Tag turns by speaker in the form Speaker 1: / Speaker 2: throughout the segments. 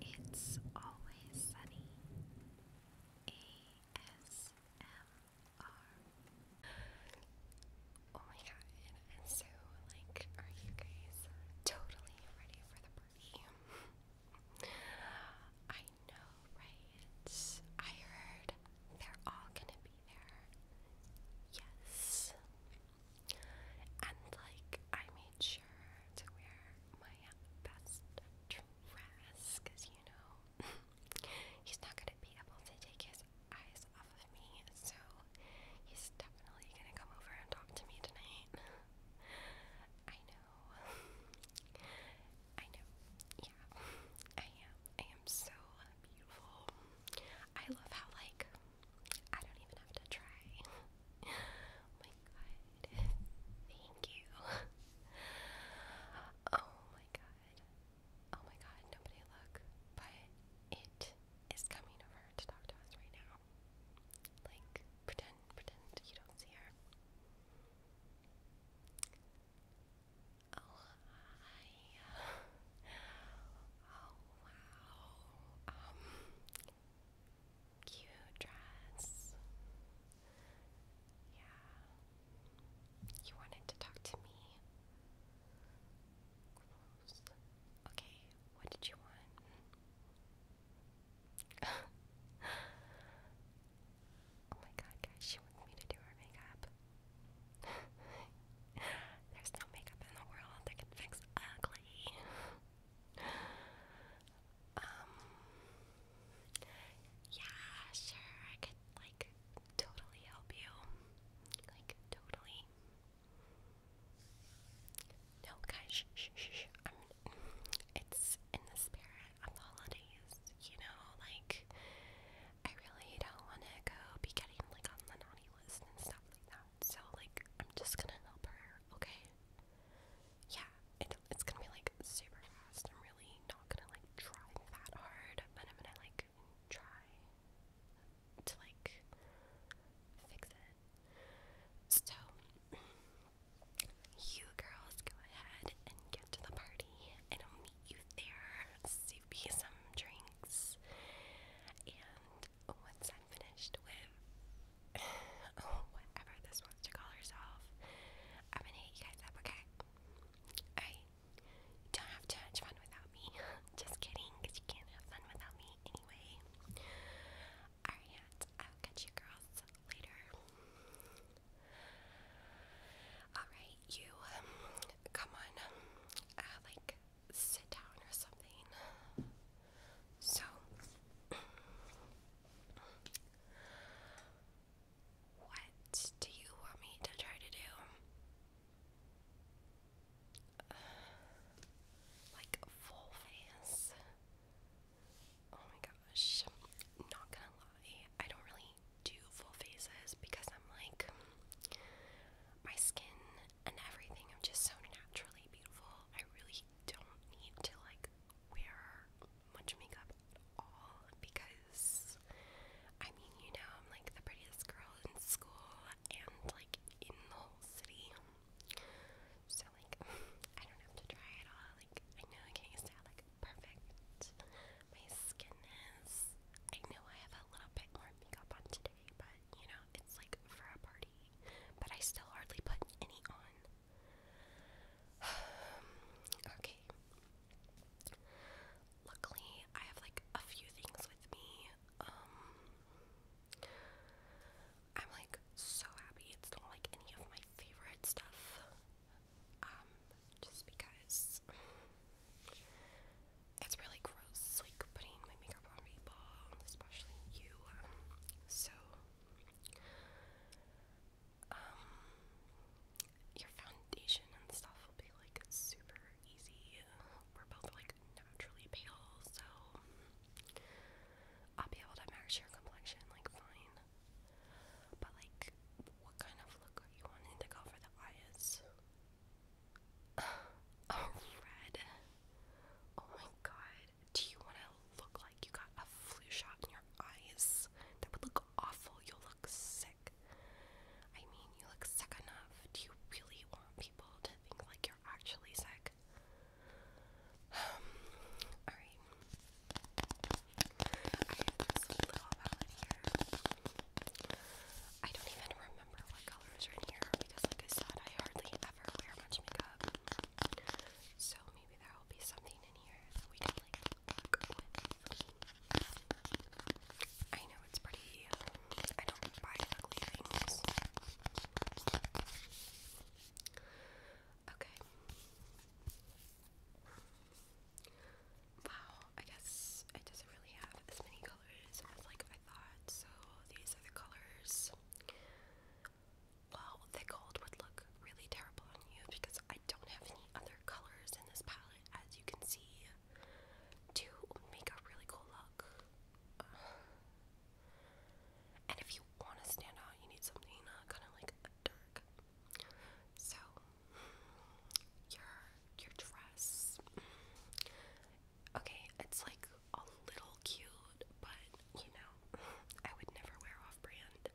Speaker 1: It's Always Sunny ASMR. Oh my god, and so, like, are you guys totally ready for the party? I know, right? I heard they're all gonna be there. Yes. And, like, I made sure to wear my best dress, cause you know he's not gonna be able to take his eyes off of me, so he's definitely gonna come over and talk to me tonight. I know. I know. Yeah. I am. I am so beautiful. I love how like I don't even have to try. Thank you. Oh my god. Oh my god, nobody look. But it is coming over to talk to us right now. Like, pretend, pretend you don't see her. Oh, Oh, wow. Um, cute dress. Yeah. You wanted to talk to me. Okay, what did you want? oh my god, guys, she wants me to do her makeup. There's no makeup in the world that can fix ugly. Um, yeah, sure, I could, like, totally help you. Like, totally. No, guys, shh, shh, shh, it's in the spirit of the holidays, you know? Like, I really don't want to go be getting, like, on the naughty list and stuff like that. So, like, I'm just gonna help her, okay? yeah, it's gonna be like super fast. I'm really not gonna like try that hard, but I'm gonna like try to like fix it. So, you girls go ahead and get to the party, and I'll meet you there. Save me some drinks. And once I'm finished with oh, whatever this wants to call herself. I'm gonna hit you guys up, okay? Alright. don't have too much fun without me. Just kidding, because you can't have fun without me anyway. Alright, I'll catch you girls later. Alright, you um, come on, uh, like sit down or something. So, What do you want me to try to do? like full face. Oh my gosh. not gonna lie. I don't really do full faces because I'm like my skin and everything I'm just so naturally beautiful. I really we don't need to like wear much makeup all because I mean, you know, I'm like the prettiest girl in school and like in the whole city. So like I don't have to try at all. Like I know I can't sound like perfect. My skin is I know I have a little bit more makeup on today, but you know, it's like for a party. But I still hardly put any on. okay. Luckily, I have like a few things with me. Um, I'm like so happy it's not like any of my favorite stuff. Um, just because it's really gross, like putting my makeup on people, especially you. Um, so um, your foundation and stuff will be like super easy. We're both like naturally pale, so I'll be able to match your complexion like fine. But like, what kind of look are you wanting to go for the eyes? Oh, red. Oh my god. Do you want to look like you got a flu shot in your eyes? That would look awful. You'll look sick. I mean, you look sick enough. Do you really want people to think like you're actually sick? alright. I have this little palette here. I don't even remember what colors are in here because, I hardly ever wear much makeup. So maybe there will be something machine in I know it's pretty. I don't buy ugly things. Okay. Wow, I guess it doesn't really have as many colors as like I thought. So these are the colors. Well, the gold would look really terrible on you because I don't have any other colors in this palette, as you can see, to make a really cool look. and if you want to stand out, you need something uh, kind of like dark. So, your your dress. Okay, it's like a little cute, but you know, I would never wear off brand.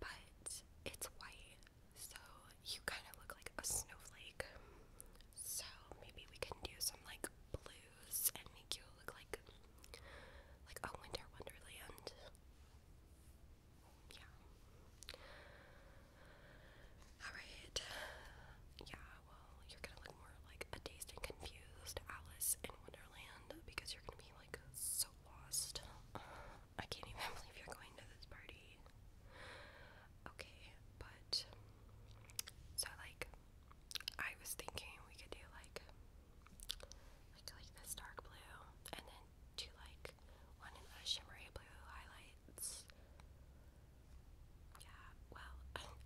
Speaker 1: But it's white, so you kind of look like a snowflake. So maybe we can do some like blues and make you look like like a winter wonderland. Yeah. Alright. Yeah, well, you're gonna look more like a dazed and confused Alice in Wonderland because you're gonna be like so lost. I can't even believe you're going to this party. Okay, but so like I was thinking we could do like like like this dark blue and then do like one in the shimmery blue highlights. Yeah, well,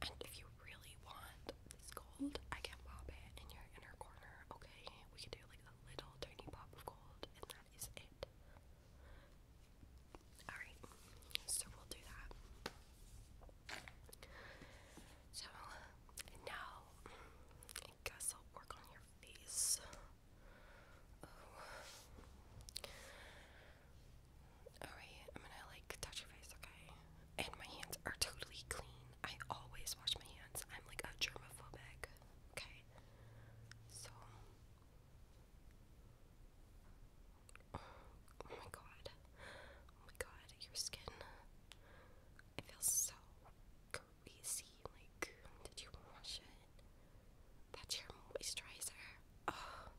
Speaker 1: and if you really want this gold, I can pop it in your inner corner, okay? We can do like a little tiny pop of gold, and that is it. Alright, so we'll do that. So, now, I guess I'll work on your face. Oh. Alright, I'm gonna like touch your face, okay? and my hands are totally clean. I always wash my hands. I'm like a germaphobe. Okay. So Oh my god. Oh my god, your skin. It feels so greasy. Like, did you wash it? That's your moisturizer. Oh.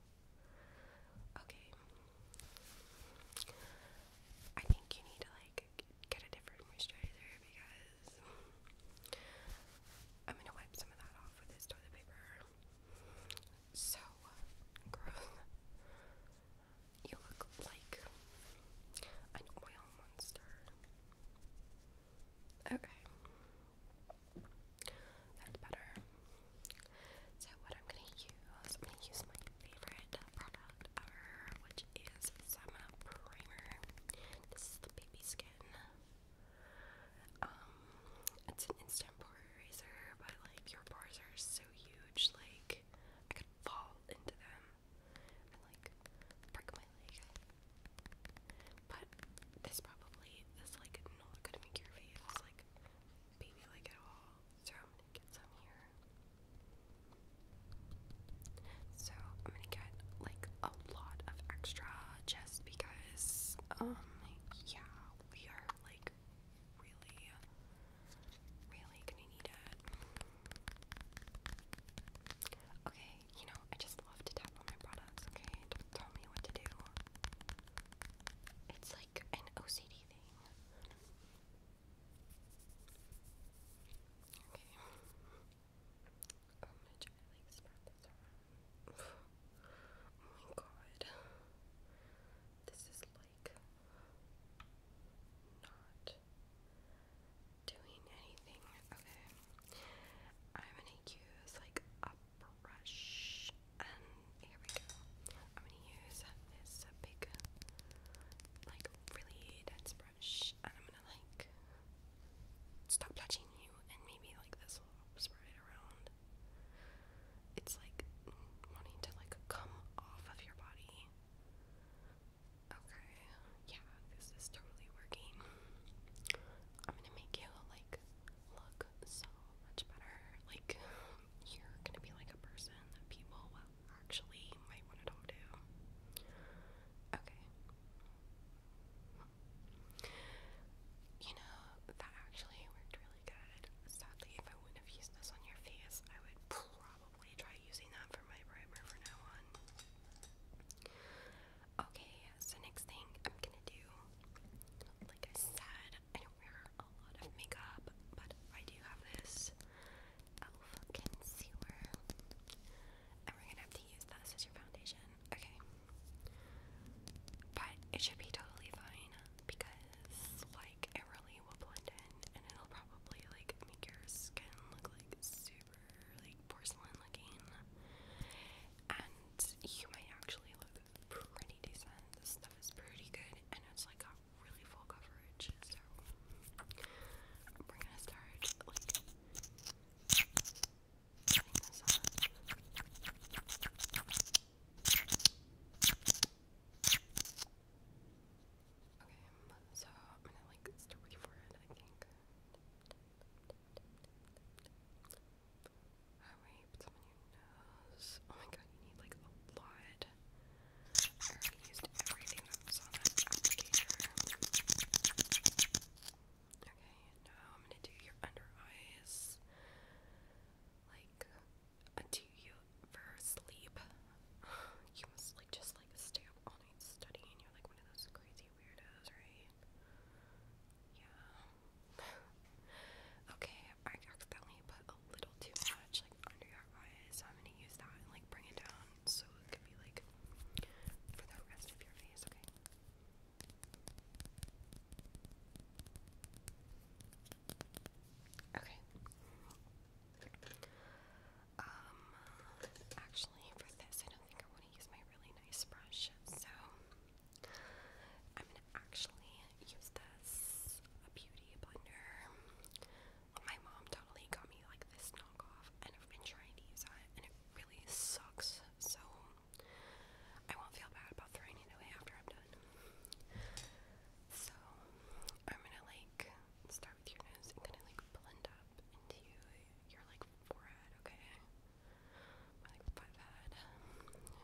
Speaker 1: Okay. I think you need to like get a different moisturizer because I'm gonna wipe some of that off with this toilet paper. So gross. You look like an oil monster. Okay. That's better. So what I'm gonna use, I'm gonna use my favorite product which is Sama Primer. This is the baby skin. Um, it's an instant pore eraser, but like your pores are so huge, like I could fall into them and like break my leg. But this probably is like not gonna make your face like baby like at all. So I'm gonna get some here. So I'm gonna get like a lot of extra just because, um, yeah, we are like really, really gonna need it. Okay, you know, I just love to tap on my products, okay? Don't tell me what to do. It's like an OCD thing. Okay. i oh my god. This is like not doing anything. Okay. I'm gonna use like a brush and here we go. I'm gonna use this big like really dense brush and I'm gonna like stop touching you and maybe like this will spread it around. It's like wanting to like come off of your body. Okay, yeah, this is totally working. I'm gonna make you like look so much better. Like you're gonna be like a person that people Actually, might want to talk to. Okay. You know, that actually worked really good. Sadly, if I wouldn't have used this on your face, I would probably try using that for my primer from now on. Okay, so next thing I'm gonna do, like I said, I don't wear a lot of makeup, but I do have this Elf Concealer. And we're gonna have to use that as your foundation. Okay. But it should be totally fine because, like, it really will blend in and it'll probably, like, make your skin look, like, super, like, porcelain looking. And you might actually look pretty decent. This stuff is pretty good and it's, like, really full coverage, so we're gonna start Okay, so I'm gonna like start with your forehead, I think. Oh my god, you need like a lot it. Okay, now I'm gonna do your under eyes. Like, until you for sleep, you must like just like stay up all night studying. You're like one of those crazy weirdos, right? Yeah. okay, I accidentally put a little too much like under your eyes, so I'm gonna use that and like bring it down so it could be like for the rest of your face, okay? Okay. Um, actually, for this, I don't think I want to use my really nice brush, so I'm gonna actually use this a beauty blender my mom totally got me like this knockoff, and I've been trying to use that, and it really sucks. So I won't feel bad about throwing it away after I'm done. So I'm gonna like start with your nose and kind of like blend up into your like forehead, okay? My like forehead.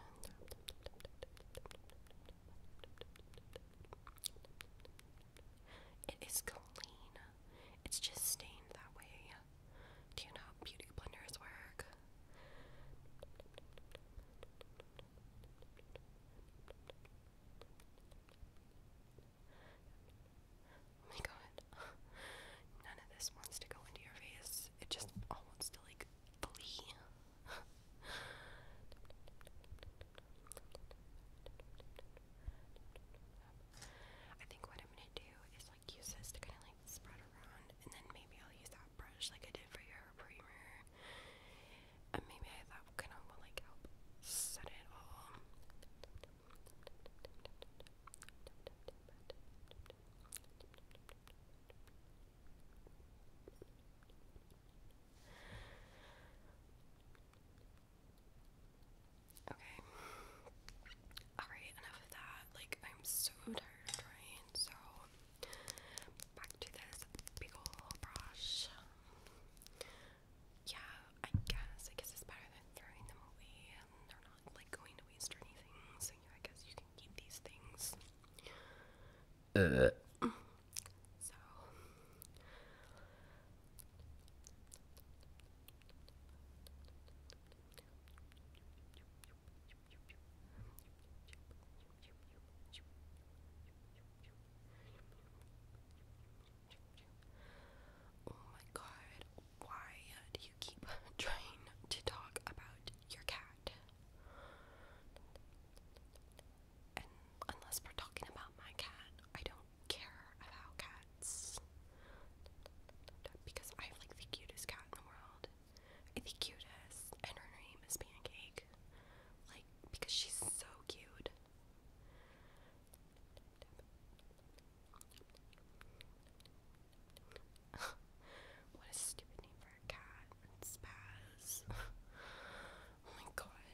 Speaker 1: It is clean. It's just stained that way. Do you know how beauty blenders work? Oh my god. None of this wants to go into your face. It just all wants to like flee. I think what I'm gonna do is like use this to kind of like spread around, and then maybe I'll use that brush like I did for your primer, and maybe that kind of will like help set it all. Okay. Alright, enough of that. Like, I'm so tired, of right? So, back to this big old brush. Yeah, I guess. I guess it's better than throwing them away. They're not, like, going to waste or anything. So, I guess you can keep these things. Uh, so Oh my god, why do you keep trying to talk about your cat? and unless we're talking about my cat, I don't care about cats because I have like the cutest cat in the world. The cutest, and her name is Pancake. Like, because she's so cute. what a stupid name for a cat. Spaz. Oh my god.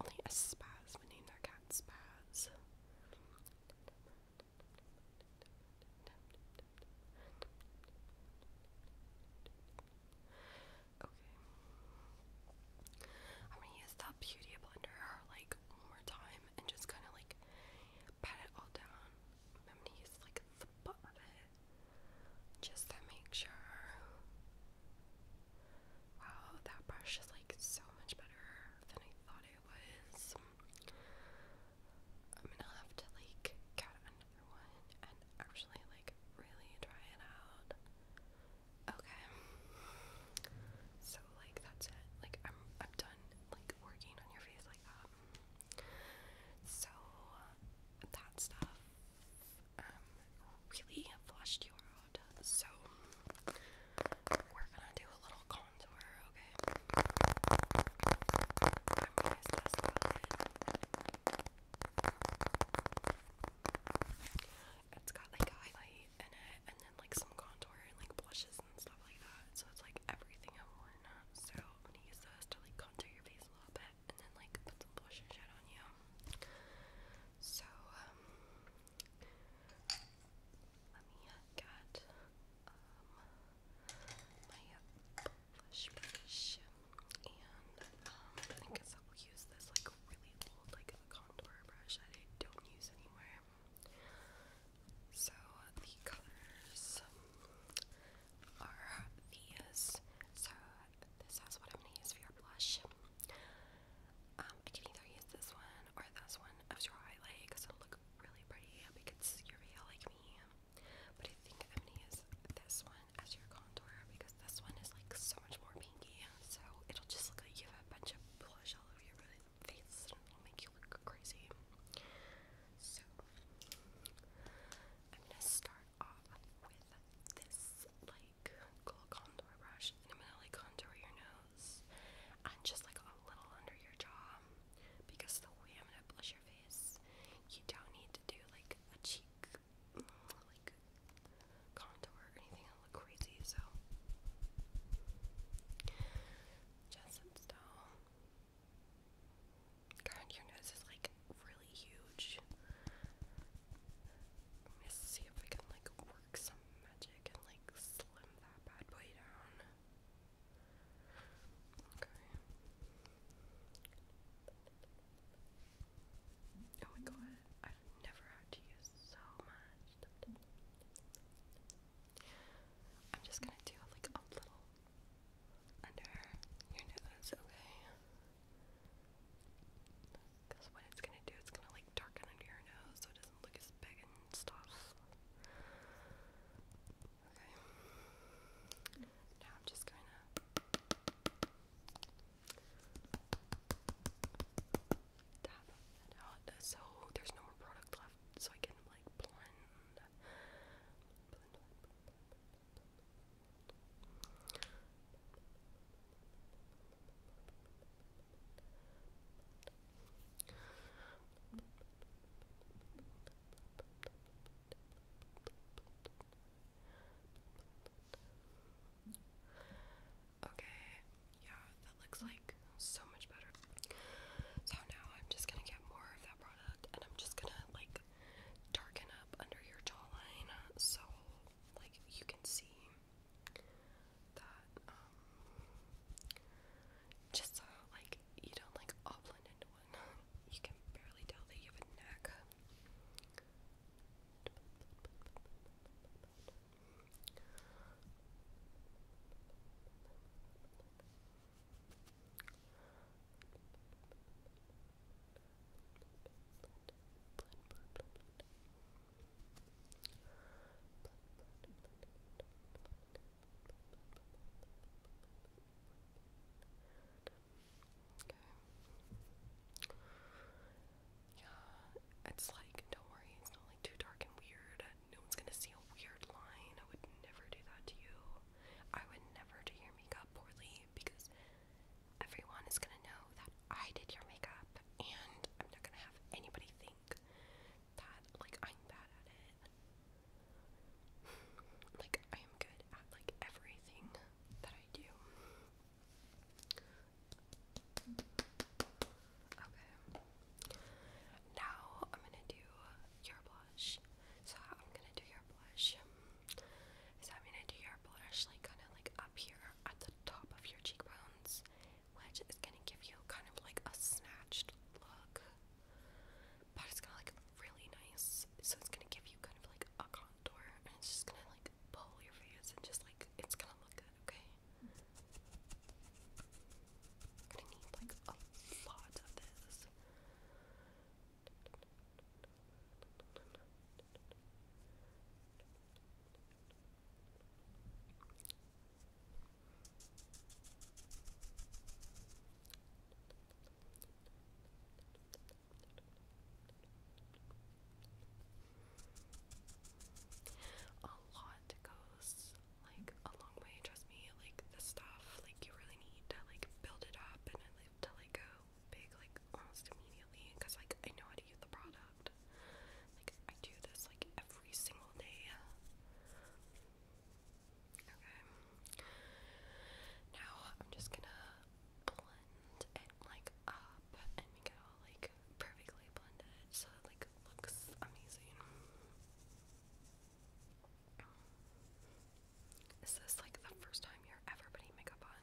Speaker 1: Only a spaz would name their cat Spaz. Okay. I'm gonna use the beauty blender like one more time and just kinda like pat it all down. I'm gonna use like the butt of it just to make sure Wow, that brush is like so much better than I thought it was. I'm gonna have to like get another one and actually like really try it out. Okay. So like that's it. Like I'm I'm done like working on your face like that. So that stuff um really flushed you out so we're gonna do a little contour, okay? it. has got like a highlight in it, and then like some contour and like blushes and stuff like that. So it's like everything in one. So I'm gonna use this to like contour your face a little bit, and then like put some blush shit on you. So um, let me get my blush brush, and I guess I will use this like really old like contour brush that I don't use anymore. So the colors are these. So this is what I'm gonna use for blush. Um, I can either use this one or this one as your highlight because it'll look really pretty because you're real like me. But I think I'm gonna use this one as your contour because this one is like so much more pinky. So it'll just look like you have a bunch of blush all over your face and it'll make you look crazy. So I'm gonna start off with this like like contour brush, and I'm gonna like contour your nose and just like a little under your jaw because the way I'm gonna blush your face, you don't need to do like a cheek like contour or anything that look crazy. So just sit God, your nose is like really huge. Let's see if I can like some magic and like slim that bad boy down. Okay. Oh my god, I've never had to use so much. I'm just gonna do like a little under your nose, okay? Because what it's gonna do, it's gonna like darken under your nose so it doesn't look as big and stuff. Okay. Now I'm just gonna tap that out so there's no more product left so I can like blend. Okay, yeah, that looks like so much better. So now I'm just gonna get more of that product and I'm just gonna like darken up under your jawline so like you can see that um, just like you don't like all into one. You can barely tell that you have a neck. Okay. Yeah, it's like, don't worry, it's not like too dark and weird. No one's gonna see a weird line. I would never do that to you. I would never do your makeup poorly because everyone is gonna know that I did your makeup and I'm not gonna have anybody think like I'm bad at it. like I am good at like everything that I do. Okay. Now I'm gonna do your blush. So I'm gonna do your blush. Is I'm gonna do your blush like kinda like up here at the top of your cheekbones which is gonna give you kind of like a snatched look, but it's gonna like really nice. So it's gonna give you kind of like a contour, and it's just gonna like pull your face, and just like it's gonna look good. Okay. gonna need like a lot of this. A lot goes like a long way, trust me. Like the stuff, like you really need to like build it up and to like go big like almost immediately because like I know how to use the product. Like, I do this like every single day. Okay. Now I'm just gonna blend it like up and make it all like perfectly blended so it like looks amazing. Is this like the first time you're ever putting makeup on?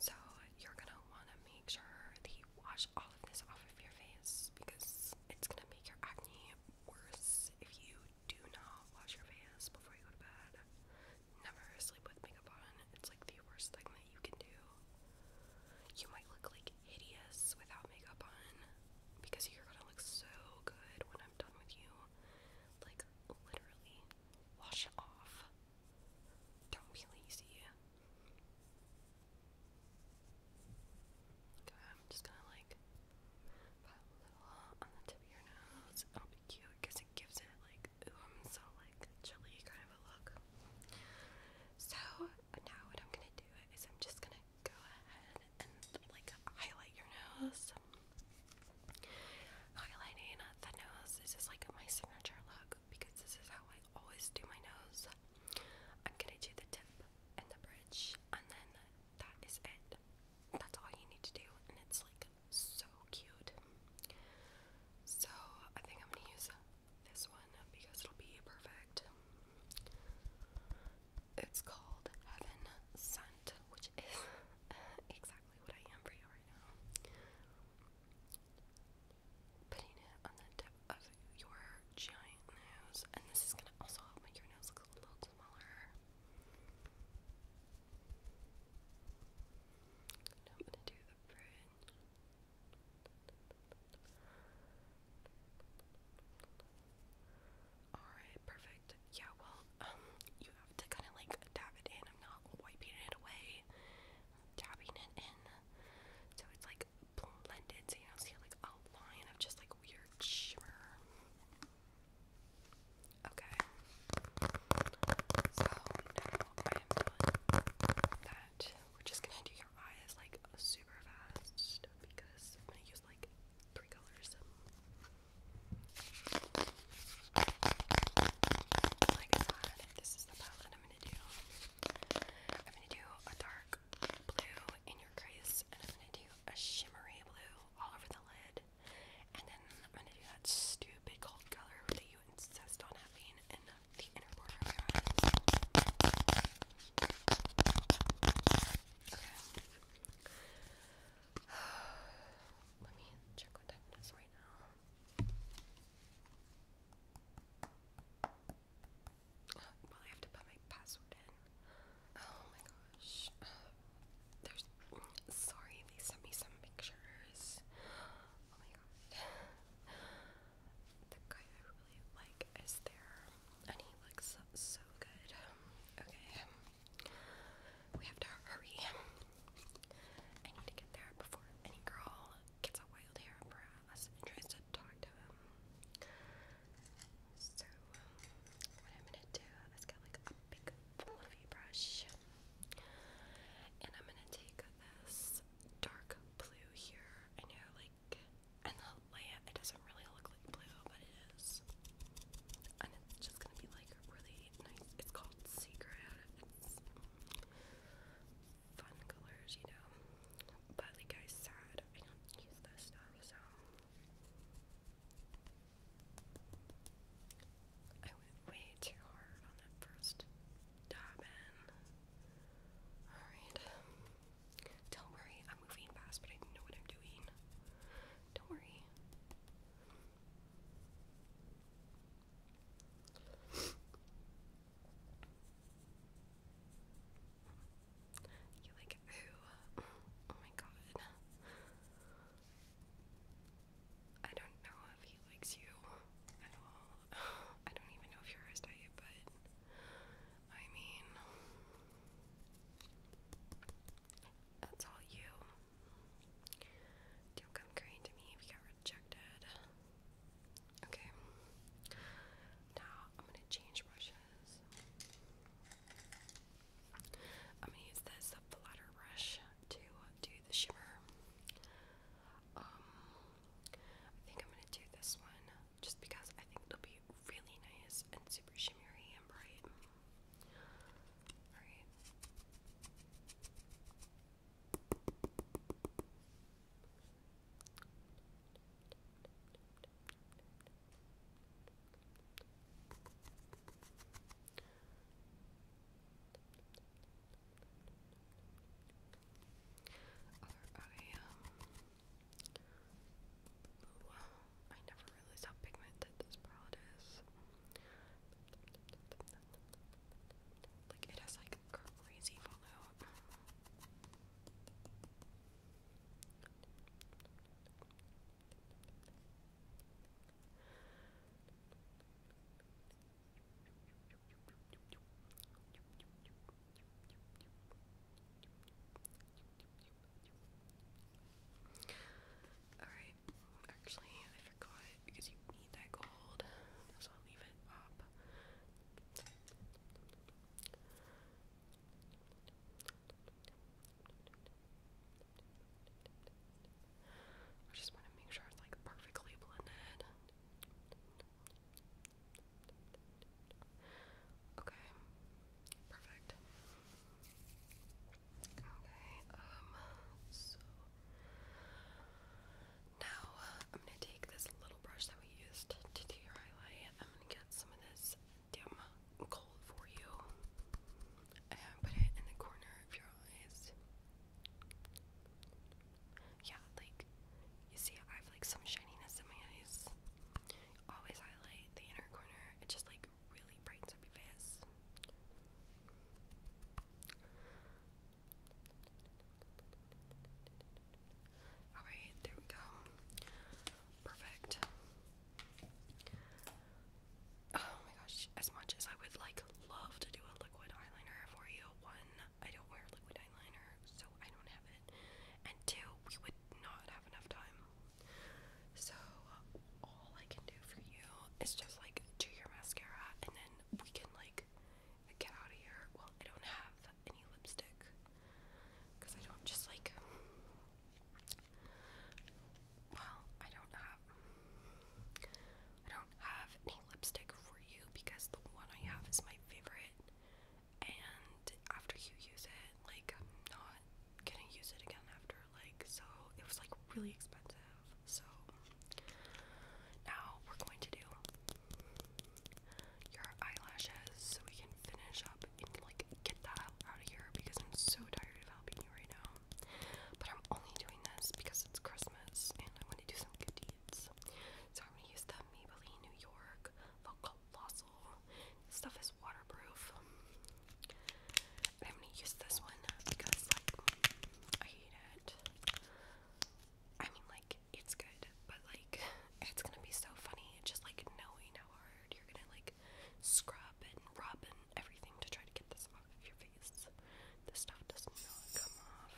Speaker 1: So you're gonna wanna make sure that wash all this off of your face because it's gonna make your acne worse if you do not wash your face before you go to bed. Never sleep with makeup on. It's like the worst thing that you can do. You might look like hideous without makeup on because you're gonna look so good when I'm done with you. Like, literally, wash it off. Don't be lazy. Okay, I'm just gonna like put a little on the tip of your nose. It'll be cute because it gives it like ooh, I'm so like chilly kind of a look. So now what I'm gonna do is I'm just gonna go ahead and like highlight your nose. Highlighting the nose. This is like my signature look because this is how I always do my nose. I'm gonna do the tip and the bridge, and then that is it. That's all you need to do, and it's like so cute. So I think I'm gonna use this one because it'll be perfect. It's called Heaven Scent, which is exactly what I am for you right now putting it on the tip of your giant nose, and this is gonna also help make your nose look a little smaller. I'm gonna do the bridge. Alright, perfect. Yeah, well, um, you have to kind of like dab it in. I'm not wiping it away. dabbing it in so it's like blended, so you don't see like a line of just like weird shimmer. Okay. So now I am done that. We're just gonna do your eyes like super fast because I'm gonna use like three colors. Like I this is the palette I'm gonna do. I'm gonna do a dark blue in your crease, and I'm gonna do a shimmery blue all over the lid, and then I'm gonna do that stupid cold color that you insist on having in the inner border of your eyes. Okay. Let me check what time it is right now. Well, I have to put my password in. Oh my gosh. There's. Sorry, they sent me some pictures. Oh my god. The guy I really like is there, and he looks so good. Okay. We have to hurry. I need to get there before any girl gets a wild hair brass and tries to talk to him. Um, so, what I'm gonna do is get like a big fluffy brush, and I'm gonna take this dark blue here. I know, like, and the lamp, it doesn't really look like blue, but it is. And it's just gonna be like really nice. It's called Secret fun colors, you know. But like I said, I don't use this stuff, so I went way too hard on that first diamond. Alright. Don't worry, I'm moving fast, but I know what I'm doing. Don't worry. You're like, ooh, oh my god. I don't know if he likes you at all. I don't even know if you're his type, but I mean, that's all you. Don't come crying to me if you got rejected. Okay. Now I'm gonna change brushes. I'm gonna use this flutter brush to do the shimmer. Um, I think I'm gonna do this one just because I think it'll be really nice and super shimmery and bright. Alright. I never realized how pigmented this palette is. Like, it has like like Alright, actually, I forgot because you need that gold, so I'll leave it up. I just want to make sure it's like perfectly blended. Okay, perfect. Okay, um, so now uh, I'm gonna take this little brush that we used to do your highlight. I'm gonna get some of this dim gold for you and put it in the corner of your eyes. Yeah, like you see, I have like some shininess in my eyes. Always highlight the inner corner. It just like really brightens up your face. Alright, there we go. Perfect. Oh my gosh, as much as I would like love to do a liquid eyeliner for you, one, I don't wear liquid eyeliner, so I don't have it. And two, we would not have enough time. So all I can do for you is just like do your mascara and then we can like get out of here. Well, I don't have any lipstick because I don't just like. Well, I don't have. I don't have any lipstick for you because the one I have is my favorite, and after you use it, like I'm not gonna use it again after. Like so, it was like really expensive. So now we're going to do your eyelashes so we can finish up and like get that out of here because I'm so tired of helping you right now. But I'm only doing this because it's Christmas and I want to do some good deeds. So I'm gonna use the Maybelline New York Vocal stuff is waterproof. I'm gonna use this one because like I hate it. I mean like it's good, but like it's gonna be so funny just like knowing how hard you're gonna like scrub and rub and everything to try to get this off of your face. This stuff does not come off.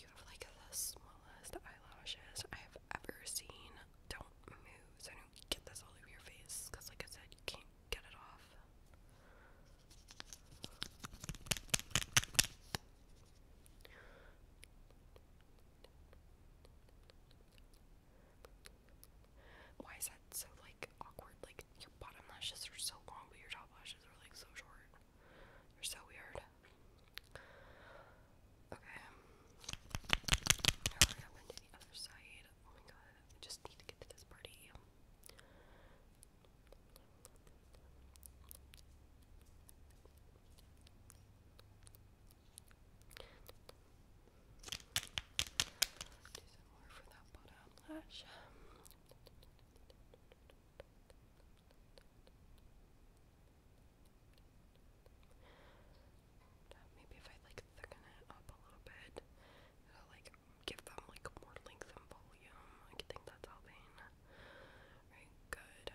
Speaker 1: You have like the smallest eyelashes I've ever seen. Don't move so get this all over your face because, like I said, you can't get it off. Why is that so like awkward? Like your bottom lashes are so long, but your top lashes are like so short. They're so weird. Okay. Now we to the other side. Oh my god, just need to get to this party some more for that bottom lash. Maybe if I like thicken it up a little bit, it'll like give them like more length and volume. I think that's helping. Right, good.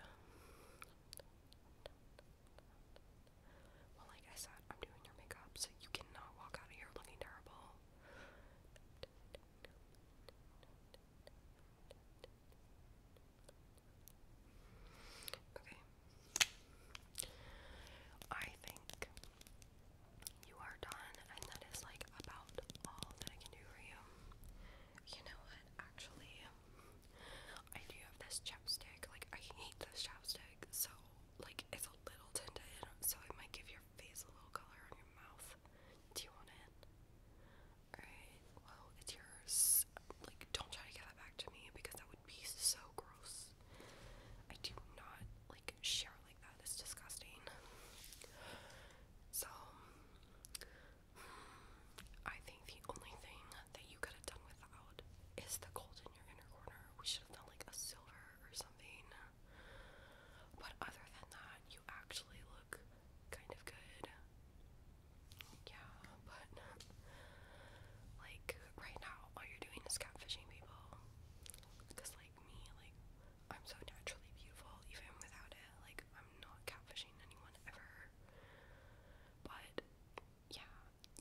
Speaker 1: Well, like I said, I'm doing your makeup, so you cannot walk out of here looking terrible. Okay. I think you are done, and that is like about all that I can do for you. You know what? Actually, I do have this chapstick. Like, I hate this chapstick, so like it's a little tinted, so it might give your face a little color on your mouth. Do you want it? Alright, well, it's yours. Like, don't try to get that back to me because that would be so gross. I do not like Share shower like that. It's disgusting. So I think the only thing that you could have done without is the gold in your inner corner. We should have done like a silver or something. But other than that, you actually look kind of good. Yeah, but like right now all you're doing is catfishing people. Because like me, like I'm so naturally beautiful, even without it. Like, I'm not catfishing anyone ever. But yeah,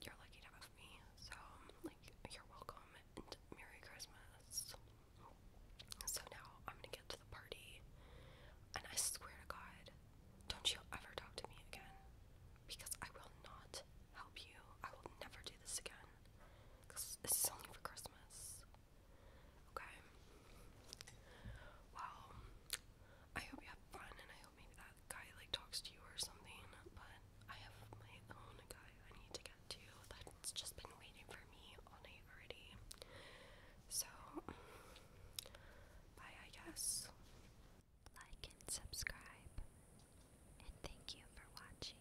Speaker 1: you're lucky to have me. So, like, you're welcome and Merry Christmas. So now I'm gonna get to the party, and I swear to God, don't you ever talk to me again because I will not help you. I will never do this again this is only for Christmas. Okay. Well, I hope you have fun and I hope maybe that guy like talks to you or something, but I have my own guy I need to get to that's just been waiting for me all night already. So bye I guess. Like and subscribe and thank you for watching.